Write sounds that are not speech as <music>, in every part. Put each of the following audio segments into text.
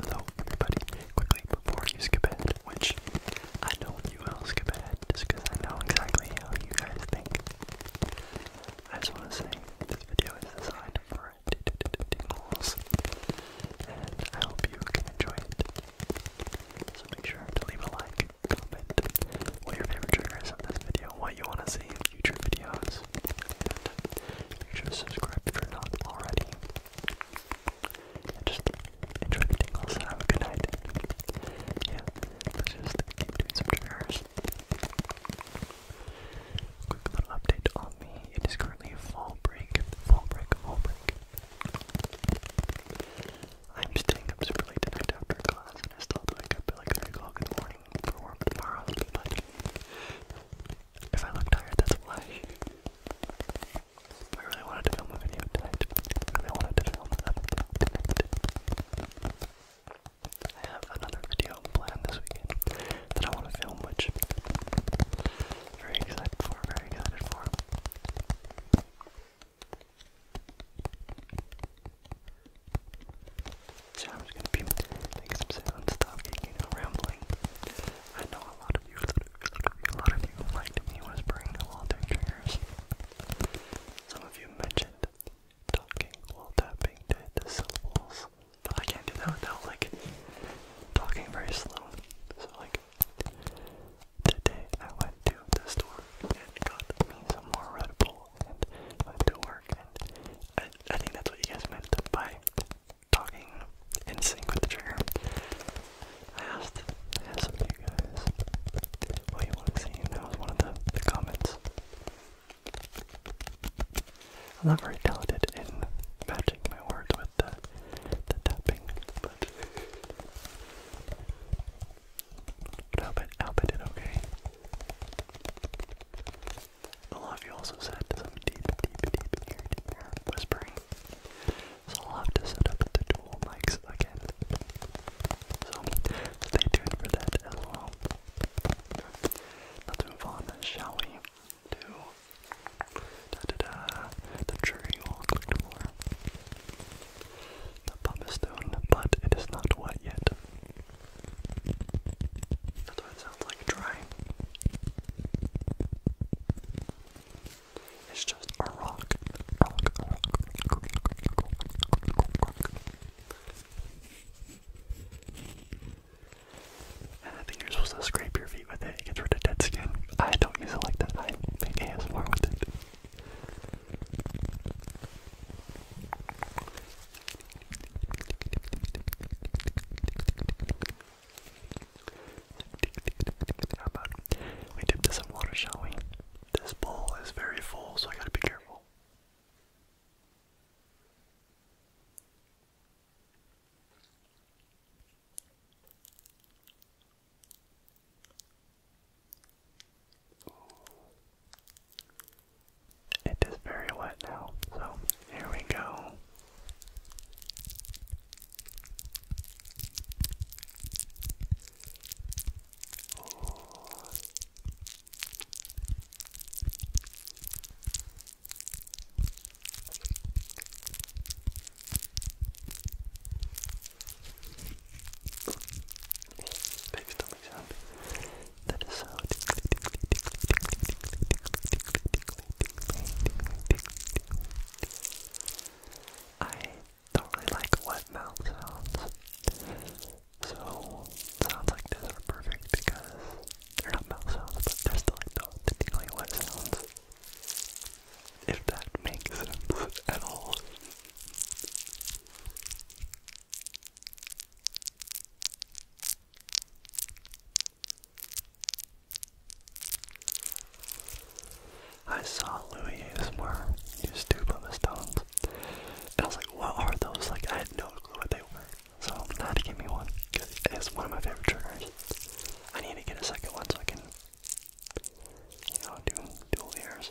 Hello, everybody. Quickly, before you skip ahead, which I know you will skip ahead just because I know exactly how you guys think. I just want to say this video is designed for tingles, and I hope you can enjoy it. So make sure to leave a like, comment what your favorite trigger is on this video, what you want to see in future videos, make sure to subscribe if you're not already. And just enjoy the tingles and have a good night. Yeah, let's just keep doing some triggers. Quick little update on me. It is currently a fall break. Fall break, fall break. I'm staying up super late tonight after class, and I still have to wake up at like 3 o'clock in the morning for work tomorrow, if I look tired, that's why. I really wanted to film a video tonight. I really wanted to film a video tonight. I have another video planned this weekend that I want to film, which very excited for, very excited for. So I'm gonna be making some sound stuff, you know, rambling. I know a lot of you, a lot of you liked me whispering while doing triggers. Some of you mentioned talking while tapping to syllables, but I can't do that without like talking very slow. So like today I went to the store and got me some more Red Bull and to work. And I, think that's what you guys meant by talking in sync with the trigger. I asked, asked of you guys what you want to see, that was one of the, the comments. I'm not very talented in matching my words with the, tapping, but, I, hope I, I hope I did okay. A lot of you also said some deep, deep, deep ear to ear whispering. So I'll have to set up the dual mics again. So stay tuned for that as well. Let's move on, shall we? To da da da the jury you all clicked for. The pub is done, but it is not wet yet. That's what it sounds like dry. It's just a rock. I think you're supposed to scrape your feet with it. It gets rid of dead skin. I don't use it like that. I make ASMR with it. How about we dip this in water, shall we? This bowl is very full, so I gotta be careful. It is very wet now, so here we go. Big stomach sound. That is so I don't really like wet mouth sounds. So sounds like this are perfect because they're not mouth sounds, but they're still like the, the wet sounds. If that makes sense at all. I saw Louis ASMR use two pumice stones, and I was like, what are those? Like, I had no clue what they were, so I had to give me one, because it's one of my favorite triggers. I need to get a second one so I can, you know, do dual ears.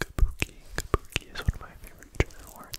Kabuki, Kabuki is one of my favorite words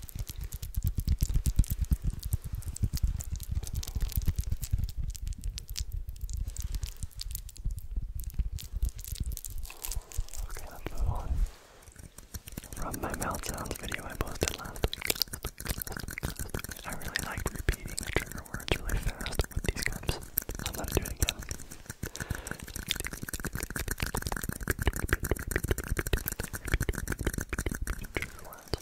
Okay, let's move on. From my mouth sounds video I posted last week. I really like repeating the trigger words really fast with these cups. I'm gonna do it again. Trigger words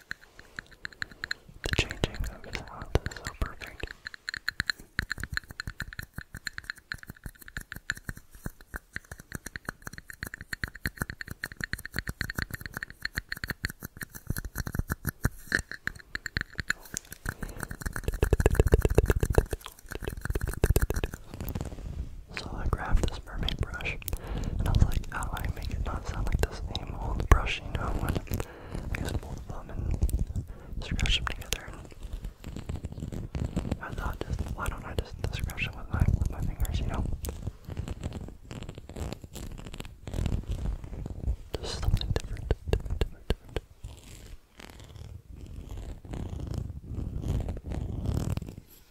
the changing of sounds is so perfect. So I grabbed this brush. And I was like, how do I make it not sound like the same old brush, you know, when I just pull them and scratch them together. I thought, just, why don't I just scratch them with my, with my fingers, you know? Just something different.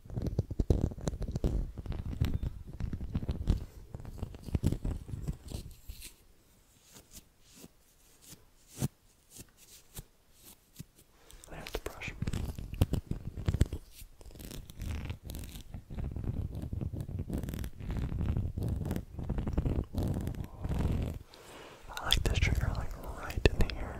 There's the brush. I like this trigger, like right in the ear.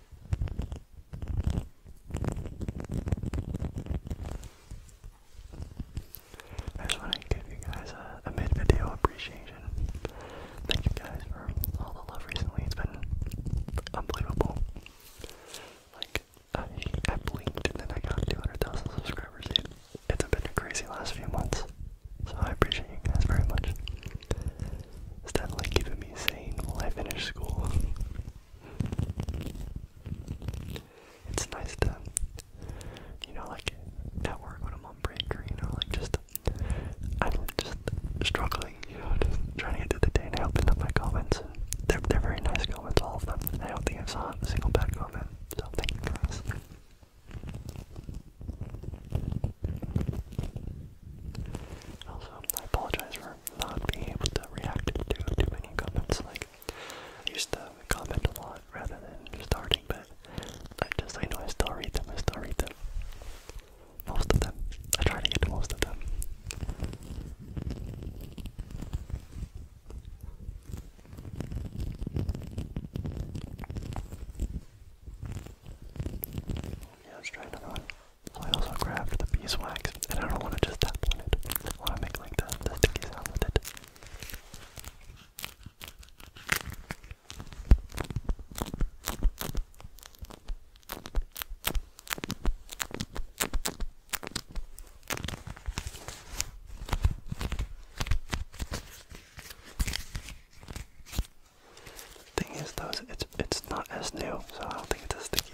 just want to give you guys a, mid video appreciation. Thank you guys for all the love recently. It's been unbelievable. Like, I, blinked and then I got 200,000 subscribers. It, it's been a crazy last few months. So I appreciate you guys very much. It's definitely keeping me sane while I finish school. <laughs> It's nice to, you know, like at work when I'm on break or, you know, like just, I'm just struggling, you just trying to get through the day and I opened up my comments. they're, they're very nice comments, all of them. I don't think I saw a single bad comment, so also, I apologize for not being able to react to too many comments. Like, I used to comment a lot rather than starting, but I just, I know I still read them, I still read them. Most of them. I try to get to most of them. Yeah, let's try another one. I also grabbed the beeswax, and I don't want to just tap on it. I want to make like the, the sticky sound with it. Thing is, though, it's it's not as new, so I don't think it's as sticky.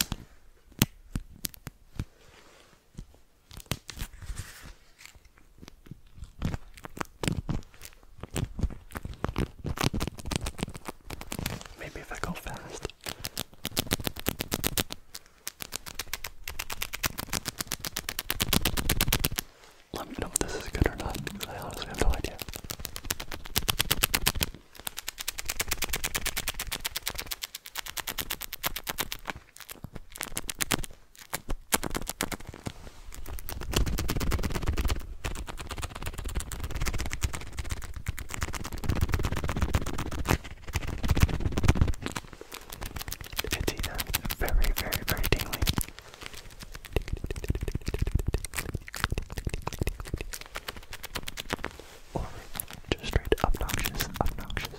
Maybe if I go fast. Let me know if this is good or not, I honestly have no idea. It's either very, very, very tingly or just straight obnoxious, obnoxious, obnoxious.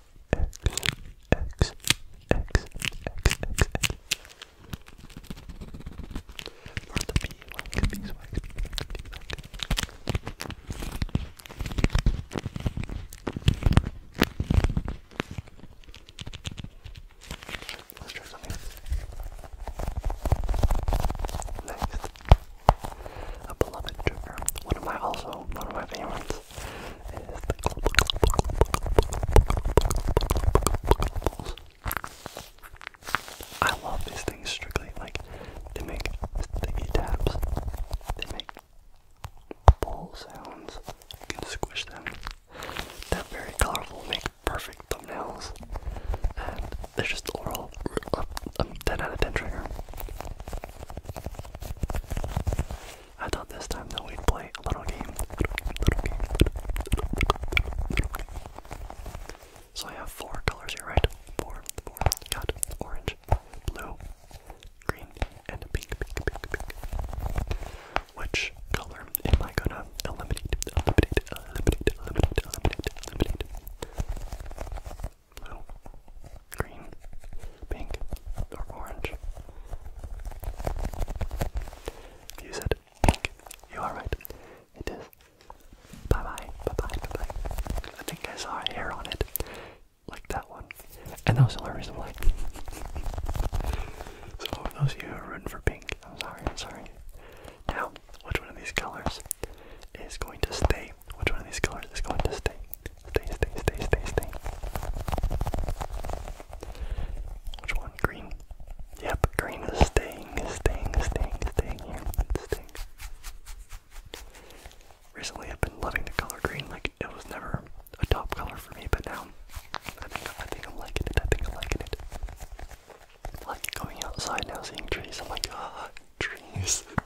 X, X, X, X, X. Or the beeswax, beeswax, beeswax, beeswax. Let's try something. Next, a beloved trigger. One of my also, one of my favorites. I love these things strictly. Like they make sticky taps. They make ball sounds. You can squish them. They're very colorful. Make perfect thumbnails. And they're just overall a um, 10 out of 10 trigger. I thought this time that we'd play a little game. So I have four colors here, right? Four, four. Got orange, blue, green, and pink, Which color am I gonna eliminate? Eliminate, eliminate, eliminate, eliminate, eliminate blue, green, pink, or orange. You said pink. You are right. It is. Bye bye. Bye bye. Bye bye. I think I saw a hair on it. Like that one. And that was the only reason why. <laughs> so, for those of you who are rooting for pink, I'm sorry, I'm sorry. Now, which one of these colors is going to stay which one of these colors is going to stay? Stay, stay, stay, stay, stay. Which one? Green. Yep, green is staying, is staying, is staying, is staying here. It's staying. Recently, I've been loving the color green. Like it was never a top color for me, but now I think I think I'm liking it. I think I'm liking it. Like going outside now, seeing trees. I'm like, ah, trees. <laughs>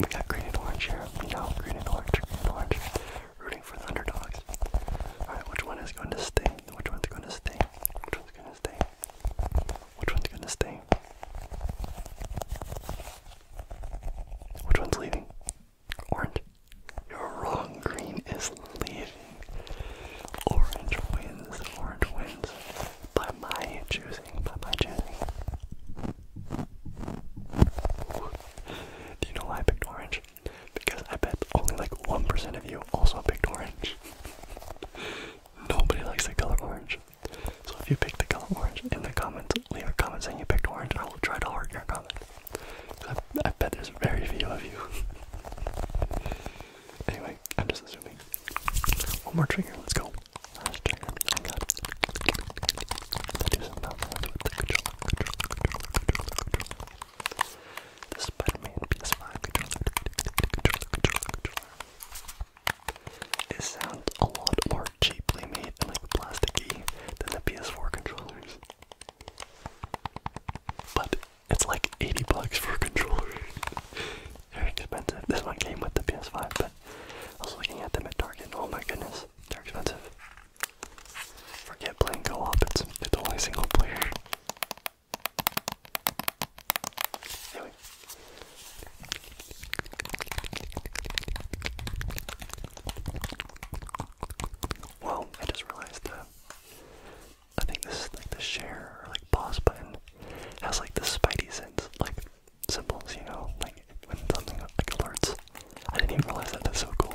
we got green and orange here. We green and orange, green and orange. Rooting for the underdogs. Alright, which one is going to stay? Which one's going to stay? Which one's going to stay? Which one's going to stay? Which one's leaving? Orange. You're wrong. Green is leaving. Orange wins. Orange wins by my choosing, by my choosing. Do you know why I picked orange? Because I bet only like 1% of you also picked orange. Nobody likes the color orange. So if you picked the color orange in the comments, leave a comment saying you picked orange, I will try to heart your comment. I, bet there's very few of you. <laughs> anyway, I'm just assuming. One more trigger, let's go. the Spider-Man PS5 controller, controller, sounds a lot cheaply made and like plasticky than the PS4 controllers. But it's like 80 bucks for a controller. <laughs> Very expensive. This one came with the PS5, but I was looking at them at Target and oh my goodness, they're expensive. Forget playing Go op it's, the only single player. Anyway. I just realized that I think this like the share or like pause button has like the spidey sense. Like symbols, you know, like when something like alerts. I didn't even realize that. That's so cool.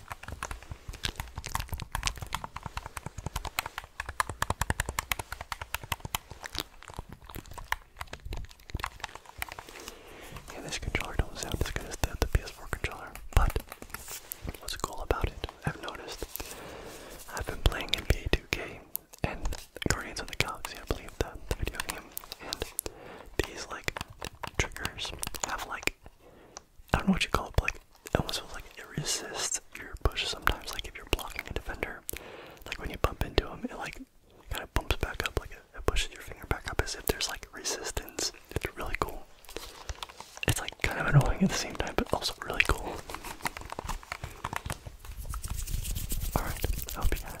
Yeah, this controller does not sound as good as the, PS4 controller, but what's cool about it, I've noticed, I've been playing NBA 2K and Guardians of the Galaxy, I believe, the, the video game, and these, like, triggers have like I don't know what you call it, but like it almost feels like it resists your push sometimes. Like if you're blocking a defender, like when you bump into them it like kind of bumps back up, like it, pushes your finger back up as if there's like resistance. It's really cool. It's like kind of annoying at the same time, but also really cool. Alright, I hope you guys